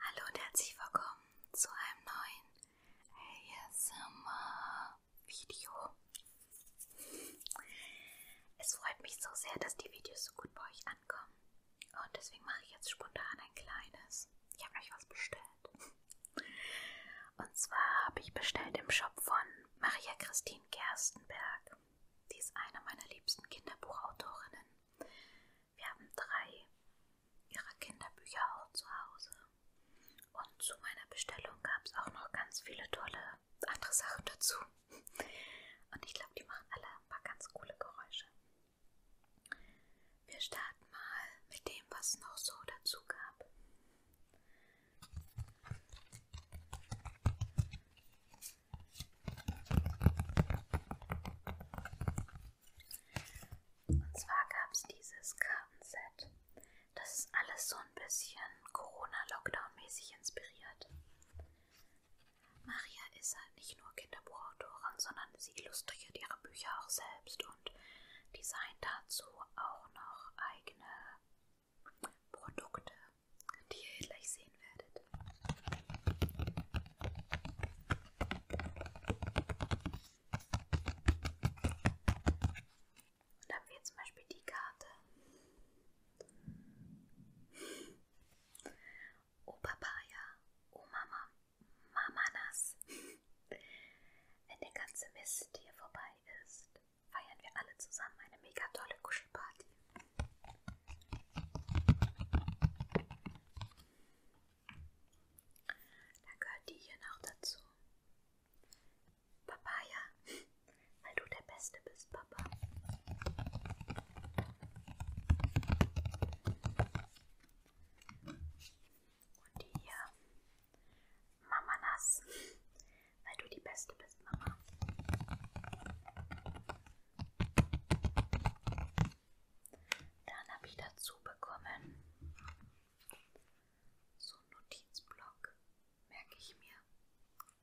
Hallo und herzlich willkommen zu einem neuen ASMR-Video. Es freut mich so sehr, dass die Videos so gut bei euch ankommen. Und deswegen mache ich jetzt spontan ein kleines. Ich habe euch was bestellt. Und zwar habe ich bestellt im Shop von Maria Christine Gerstenberg. Sie ist eine meiner liebsten Kinderbuchautorinnen. Wir haben drei ihrer Kinderbücher auch zu Hause. Und zu meiner Bestellung gab es auch noch ganz viele tolle andere Sachen dazu. Und ich glaube, die machen alle ein paar ganz coole Geräusche. Wir starten mal mit dem, was noch so dazu gab. Und zwar gab es dieses Kartenset. Das ist alles so ein bisschen Corona-Lockdown-mäßig inspiriert. Maria ist halt nicht nur Kinderbuchautorin, sondern sie illustriert ihre Bücher auch selbst und designt dazu auch noch eigene Produkte die ihr gleich sehen werdet. Und da haben wir zum Beispiel die Karte. Oh Papaya, oh Mama, Mamanas. Wenn der ganze Mist hier vorbei ist, feiern wir alle zusammen eine mega tolle Kuschelparty. Dann gehört die hier noch dazu. Papaya, weil du der Beste bist, Papa. Und die hier, Mamanas, weil du die Beste bist, Mama. Dann habe ich dazu bekommen so einen Notizblock, merke ich mir.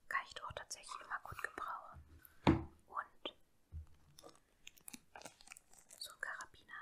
Kann ich doch tatsächlich immer gut gebrauchen. Und so ein Karabiner.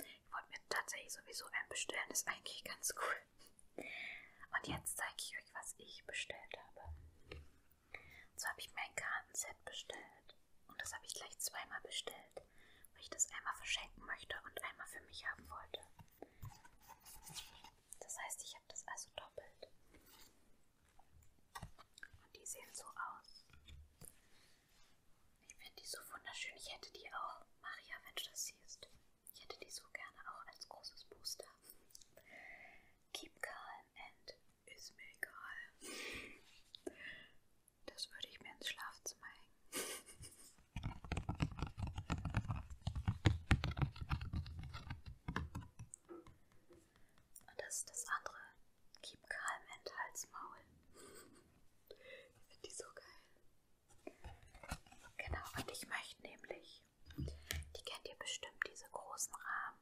Ich wollte mir tatsächlich sowieso einen bestellen, ist eigentlich ganz cool. Und jetzt zeige ich euch, was ich bestellt habe. Und zwar habe ich mir ein Kartenset bestellt. Und das habe ich gleich zweimal bestellt, weil ich das einmal verschenken möchte und einmal für mich haben wollte. Das heißt, ich habe das also doppelt. Und die sehen so aus. Ich finde die so wunderschön. Ich hätte die auch. Maria, wenn du das siehst. Ich hätte die so gerne auch als großes Booster. Keep calm and ist mir egal. Das würde ich mir ins Schlafzimmer hängen. Und das ist das andere. Keep calm and Halsmaul. Ich finde die so geil. Genau, und ich möchte nämlich, die kennt ihr bestimmt, diese großen Rahmen.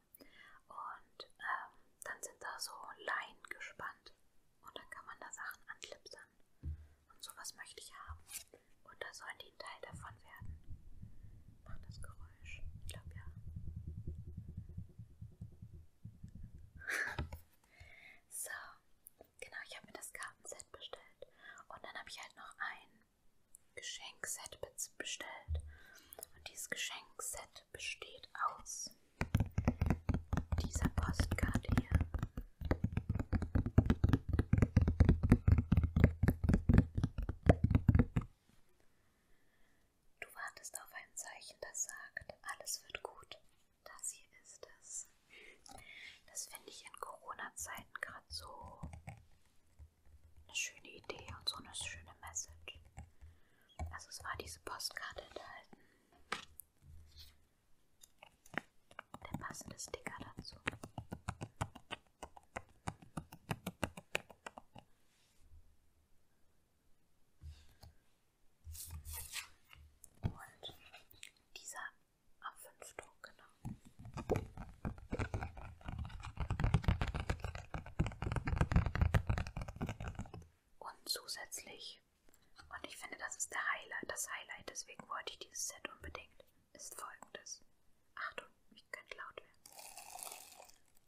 Und ähm, dann sind da so Leinen gespannt. Und dann kann man da Sachen anklipsen. Und sowas möchte ich haben. Und da sollen die ein Teil davon werden. Macht das Geräusch? Ich glaube ja. So, genau, ich habe mir das Kartenset bestellt. Und dann habe ich halt noch ein Geschenkset bestellt. Und dieses Geschenkset besteht aus dieser Postkarte hier. Du wartest auf ein Zeichen, das sagt, alles wird gut. Das hier ist es. Das finde ich in Corona-Zeiten gerade so eine schöne Idee und so eine schöne Message. Also es war diese Postkarte enthalten. Der passende Sticker dazu. Und dieser A5-Druck, genau. Und zusätzlich, und ich finde, das ist der Highlight, das Highlight, deswegen wollte ich dieses Set unbedingt, ist folgendes. Achtung, ich könnte laut werden.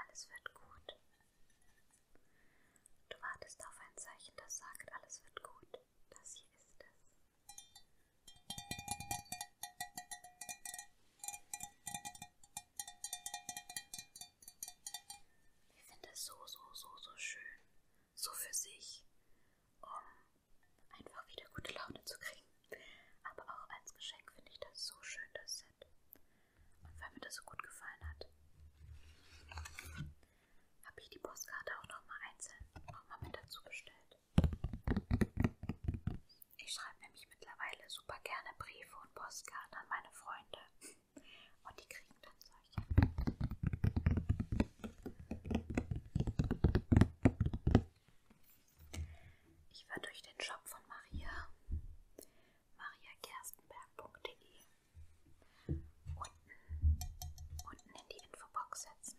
Alles wird gut. Du wartest auf ein Zeichen, das sagt, alles wird gut. Das hier ist es. Ich finde es so, so, so, so schön, so für sich, um einfach wieder gute Laune zu kriegen. Aber auch als Geschenk finde ich das so schön, das Set. Und weil mir das so gut gefallen hat, habe ich die Postkarte auch nochmal einzeln nochmal mit dazu bestellt. Ich schreibe nämlich mittlerweile super gerne Briefe und Postkarten an meine Freunde. Und die kriegen dann solche. Ich würde euch den Shop von Maria, mariakerstenberg.de, unten, unten in die Infobox setzen.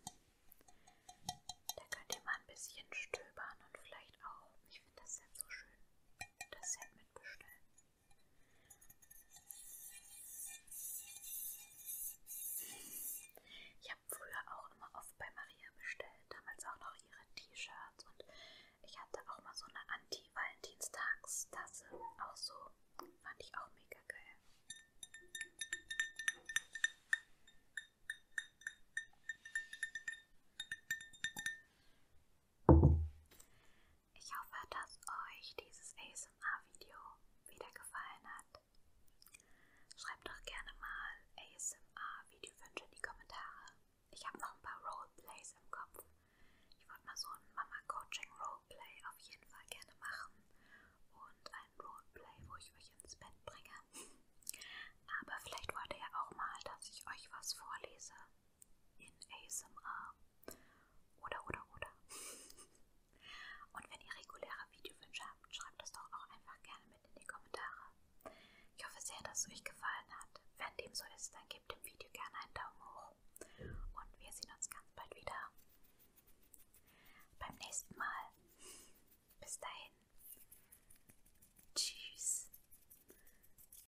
Da könnt ihr mal ein bisschen stöbern und vielleicht auch, ich finde das Set so schön, das Set mitbestellen. Ich habe früher auch immer oft bei Maria bestellt, damals auch noch ihre T-Shirts und ich hatte auch mal so eine Anti-Valentinstagstasse, auch so, fand ich auch mega geil. Ich hoffe, dass euch dieses ASMR-Video wieder gefallen hat. Schreibt doch gerne mal ASMR-Videowünsche in die Kommentare. Ich habe noch ein paar Roleplays im Kopf. Ich wollte mal so ein Mama-Coaching-Roleplay auf jeden Fall gerne machen und ein Roleplay, wo ich euch ins Bett bringe. Aber vielleicht wollt ihr ja auch mal, dass ich euch was vorlese in ASMR oder oder oder. Und wenn ihr reguläre Videowünsche habt, schreibt das doch auch einfach gerne mit in die Kommentare. Ich hoffe sehr, dass es euch gefallen hat. Wenn dem so ist, dann gebt dem Video gerne einen Daumen hoch. Und wir sehen uns ganz bald wieder. Beim nächsten Mal. Bis dahin. Tschüss.